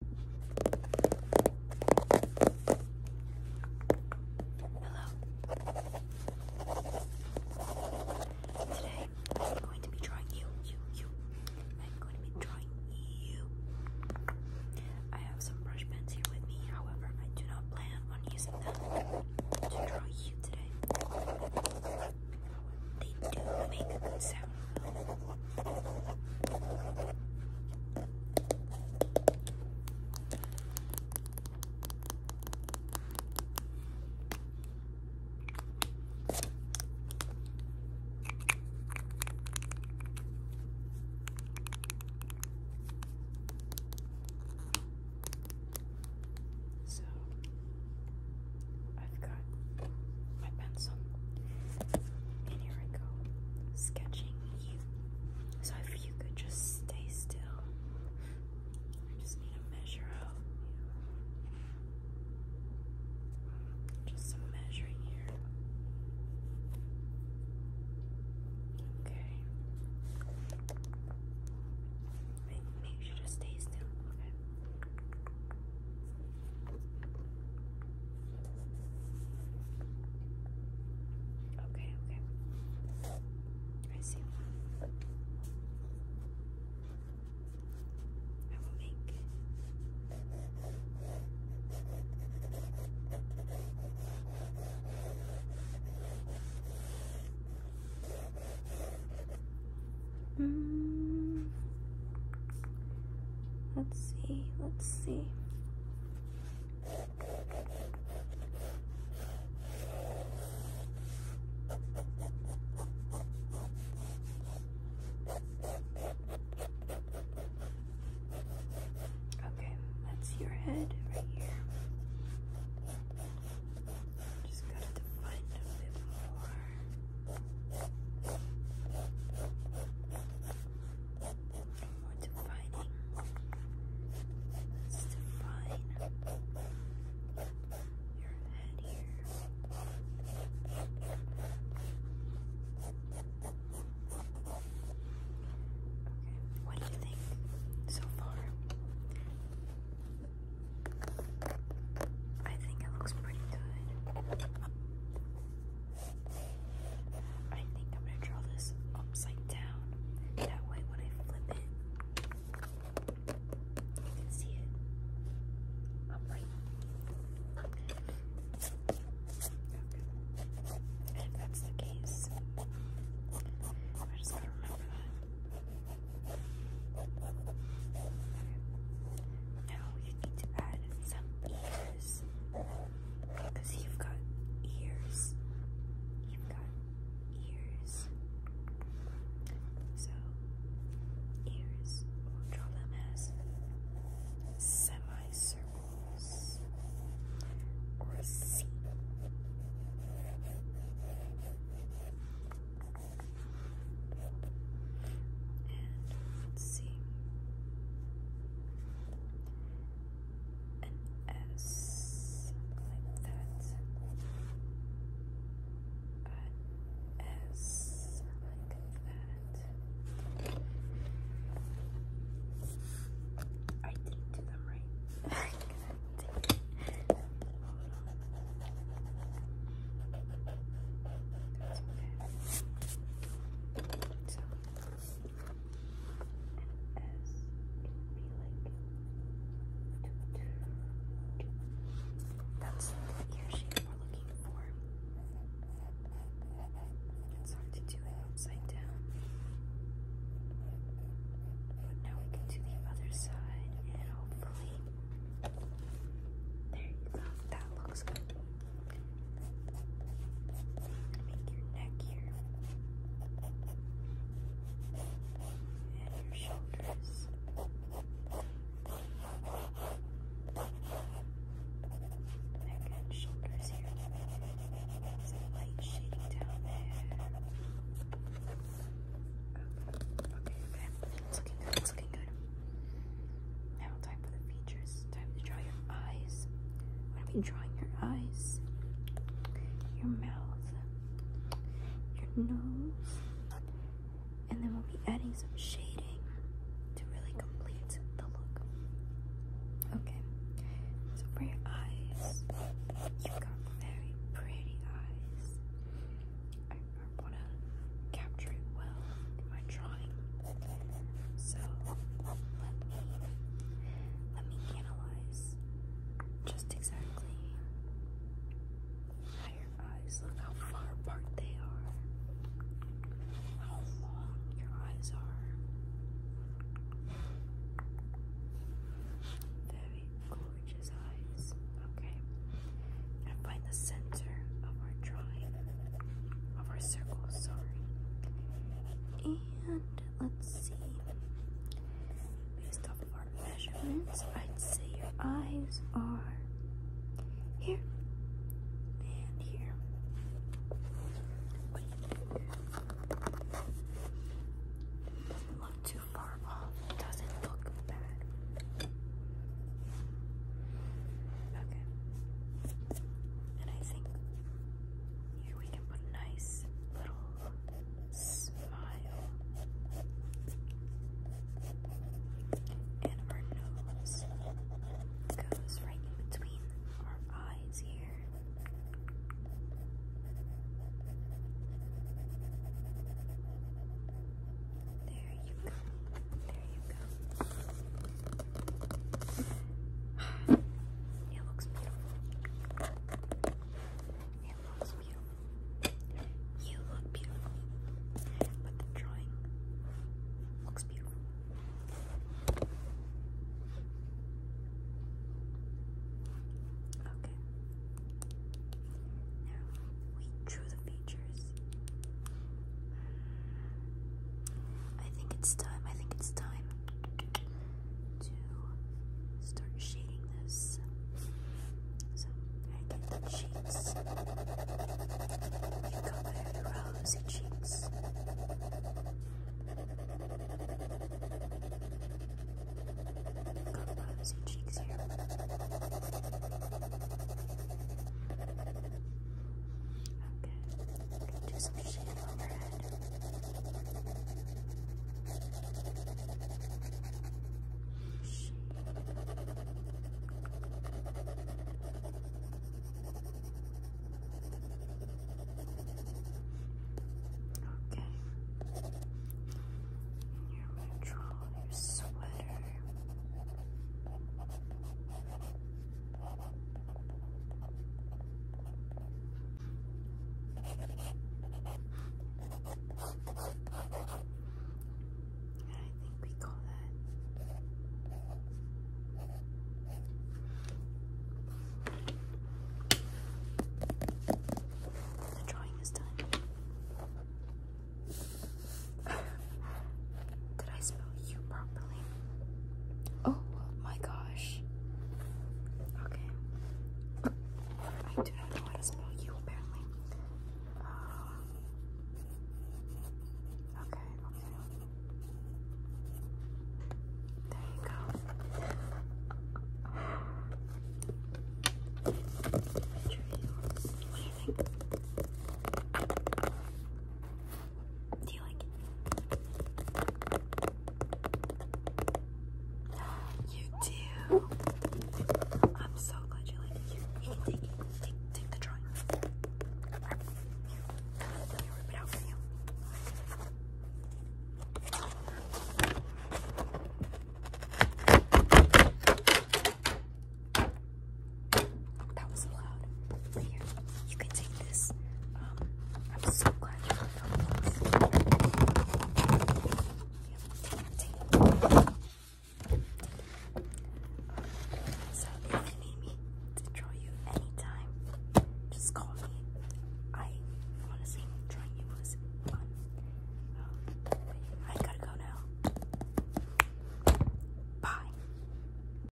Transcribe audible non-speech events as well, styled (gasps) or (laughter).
Hello. Today I'm going to be drawing you, you, you. I'm going to be drawing you. I have some brush pens here with me, however, I do not plan on using them to draw you today. They do make a sound so I've got my pencil. And here I go, sketching you. So if you could just stay still, I just need to measure out. just some measuring here. Okay. Make, sure to stay still. Okay, okay. I see I will make Mm. Let's see, let's see. Okay, that's your head right here. Just gotta define it a bit more more defining. Let's define your head here. Okay, what do you think so far? I think it looks pretty good. I think I'm gonna draw this upside down. That way, when I flip it, you can see it. I'm right. And if that's the case, I just gotta remember that. Now we need to add some ears. Because you've got ears. You've got ears. So, ears, draw them as semicircles or a C. And let an S, like that. An S, like that. I didn't do them right. (laughs) That's the ear shape we're looking for. It's hard to do it upside down. But now we can do the other side and hopefully. There you go. That looks good. Make your neck here. And your shoulders. Neck and shoulders here. light shading down there. okay, okay. It's looking good, it's looking good. Now time for the features. Time to draw your eyes. What have been drawing your eyes? Your mouth, your nose, and then we'll be adding some shading to really complete the look. Okay, so for your eyes, you've got very pretty eyes. I, want to capture it well my drawing. So let me let me analyze just exactly how your eyes look, how far apart they are, how long your eyes are. Very gorgeous eyes. Okay. And find the center of our drawing of our circle, sorry. And let's see. Based off of our measurements, I'd say your eyes are here and here. Doesn't look too far off. Doesn't look bad. Okay. And I think here we can put a nice little smile and our nose goes right in between our eyes here. There you go. There you go. It looks beautiful. It looks beautiful. You look beautiful. But the drawing looks beautiful. Okay. Now we drew the features. I think it's time, I think it's time to start shading this. So I get the cheeks. You go with rosy cheeks. Got rosy cheeks here. Okay do some shading overhead. Shh. Okay. Your neutral, your sweater. I think we call that the drawing is done. (laughs) Did I spell you properly? Oh my gosh. Okay. I do not know how to spell you apparently. Uh, okay, okay. There you go. What do you think? Do you like it? (gasps) You do. I'm so glad you like it. You can take Take, take the drawing. Right. Here. rip it out for you. That was loud. Here, you can take this. Um, I'm so glad you are this. Yep, take it, take need me to draw you anytime, just call me. I honestly drawing you was fun. Um, I gotta go now. Bye.